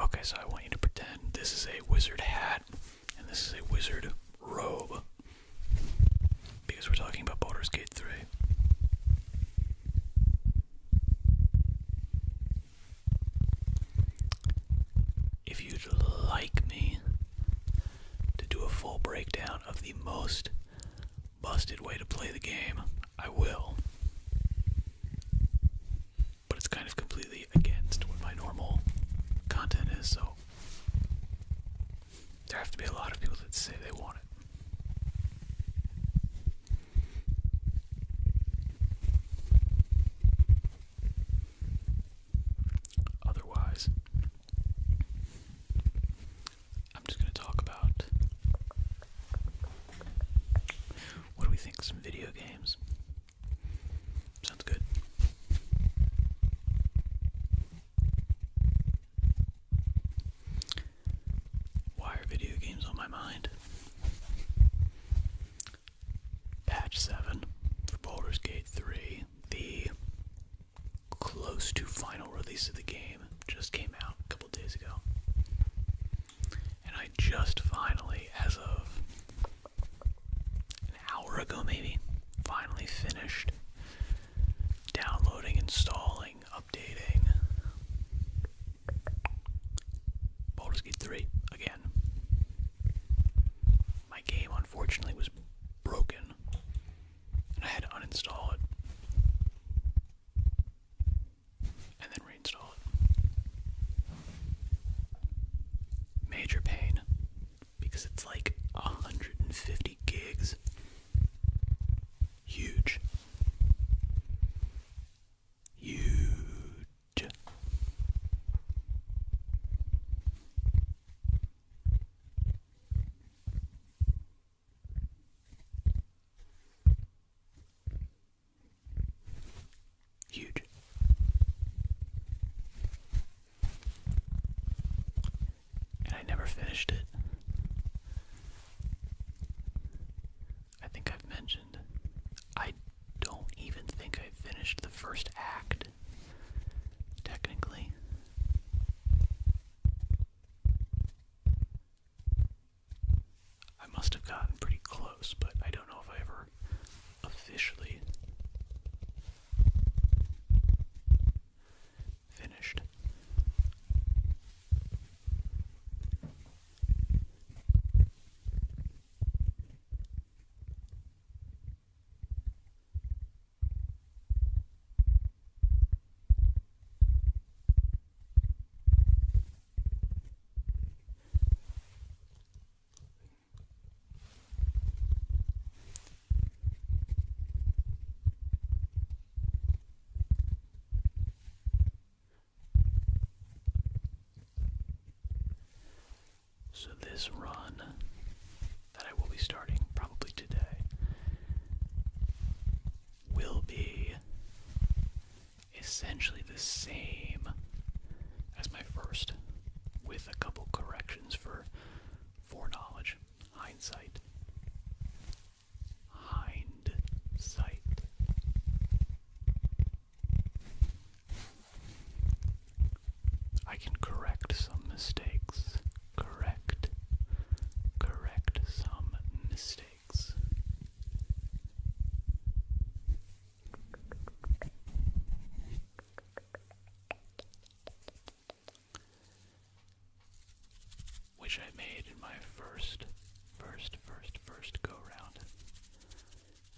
Okay, so I want you to pretend this is a wizard hat and this is a wizard robe. Because we're talking about Boulder's Gate 3. If you'd like me to do a full breakdown of the most busted way to play the game, I will but it's kind of completely against what my normal content is, so there have to be a lot of people that say they want it. Otherwise, I'm just going to talk about what do we think? Some video games? Sounds good. Why are video games on my mind? Patch 7 for Baldur's Gate 3, the close to final release of the game, just came out a couple days ago and I just finally, as of an hour ago maybe, finally finished downloading, installing, updating Baldur's Gate 3 again. My game unfortunately was broken and I had to uninstall it and then reinstall it. Major pain because it's like 150 gigs. Huge. Huge. Huge. And I never finished it. I think I've mentioned. I don't even think I finished the first act, technically. I must have gotten pretty close, but I don't know if I ever officially finished. So, this run that I will be starting probably today will be essentially the same as my first, with a couple corrections for foreknowledge, hindsight. Hindsight. I can correct some mistakes correct correct some mistakes. Which I made in my first, first, first, first go round,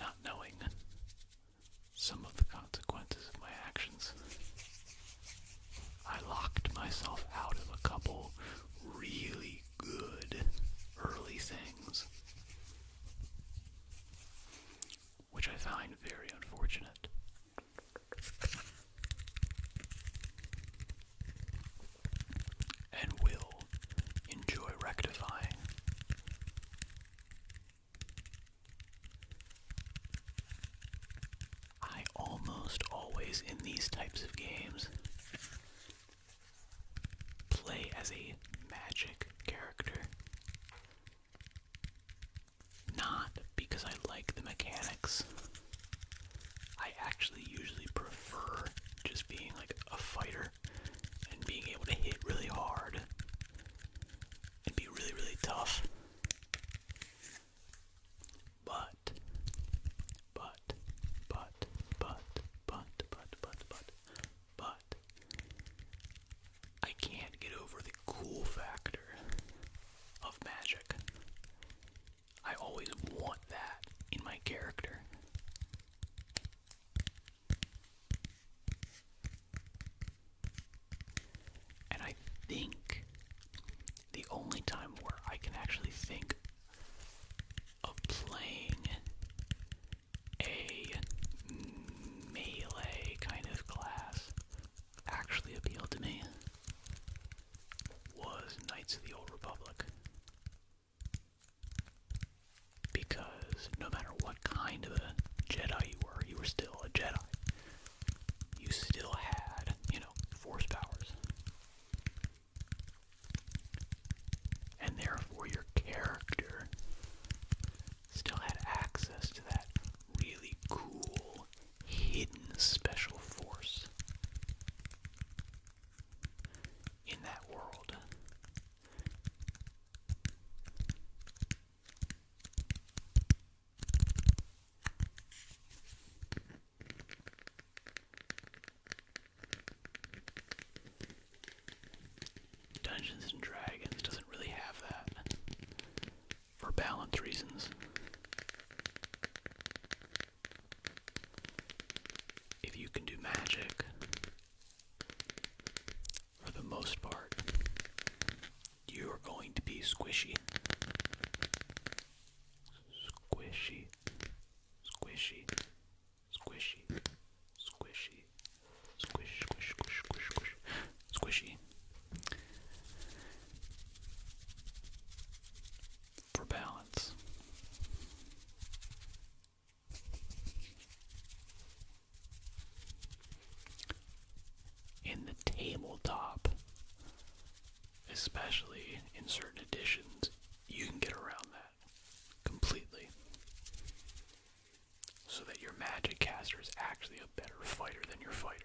not knowing some of the consequences of my actions. I locked myself out of a couple really good early things, which I find very unfortunate. And will enjoy rectifying. I almost always, in these types of games, play as a magic character. Not because I like the mechanics. I actually usually prefer just being like a fighter and being able to hit really hard and be really, really tough but, but, but, but, but, but, but, but, but, I can't get over the cool factor of magic. I always want that in my character. And I think the only time where I can actually think of playing a melee kind of class actually appealed to me was Knights of the Old Republic. Because no matter what kind of a Jedi you were, you were a Jedi. You still had, you know, force powers. And therefore, your character still had access to that really cool, hidden special force in that world. Dungeons and Dragons doesn't really have that for balance reasons. If you can do magic, for the most part, you're going to be squishy. Squishy. Squishy. Squishy. Squishy. Squish, squish, squish, squish, Squishy. For balance. In the tabletop, especially in certain editions, you can get around that completely. So that your magic caster is actually a better fighter than your fighter.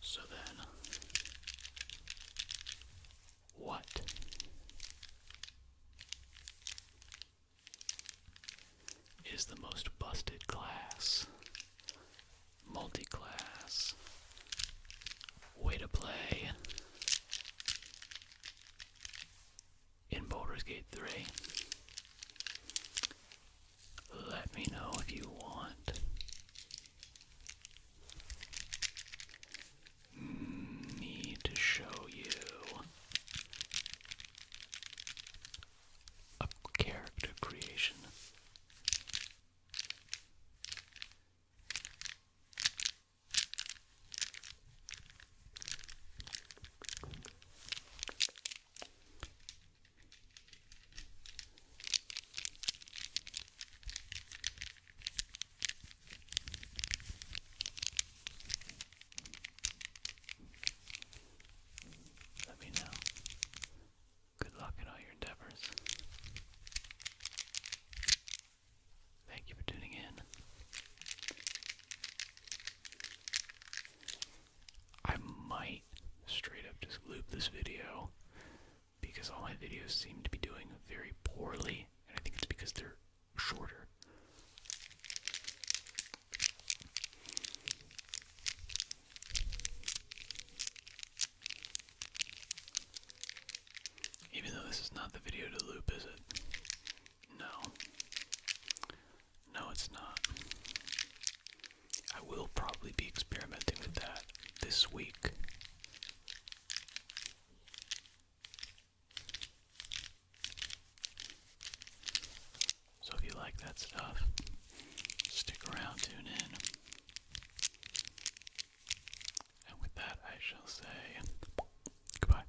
So then, what? Is the most busted class, multi class, way to play in Baldur's Gate 3. Let me know if you want. Me to show you a character creation. Let me know. Good luck in all your endeavors. Thank you for tuning in. I might straight up just loop this video because all my videos seem to be doing very poorly, and I think it's because they're shorter. Even though this is not the video to loop, is it? No. No, it's not. I will probably be experimenting with that this week. So if you like that stuff, stick around, tune in. And with that, I shall say goodbye.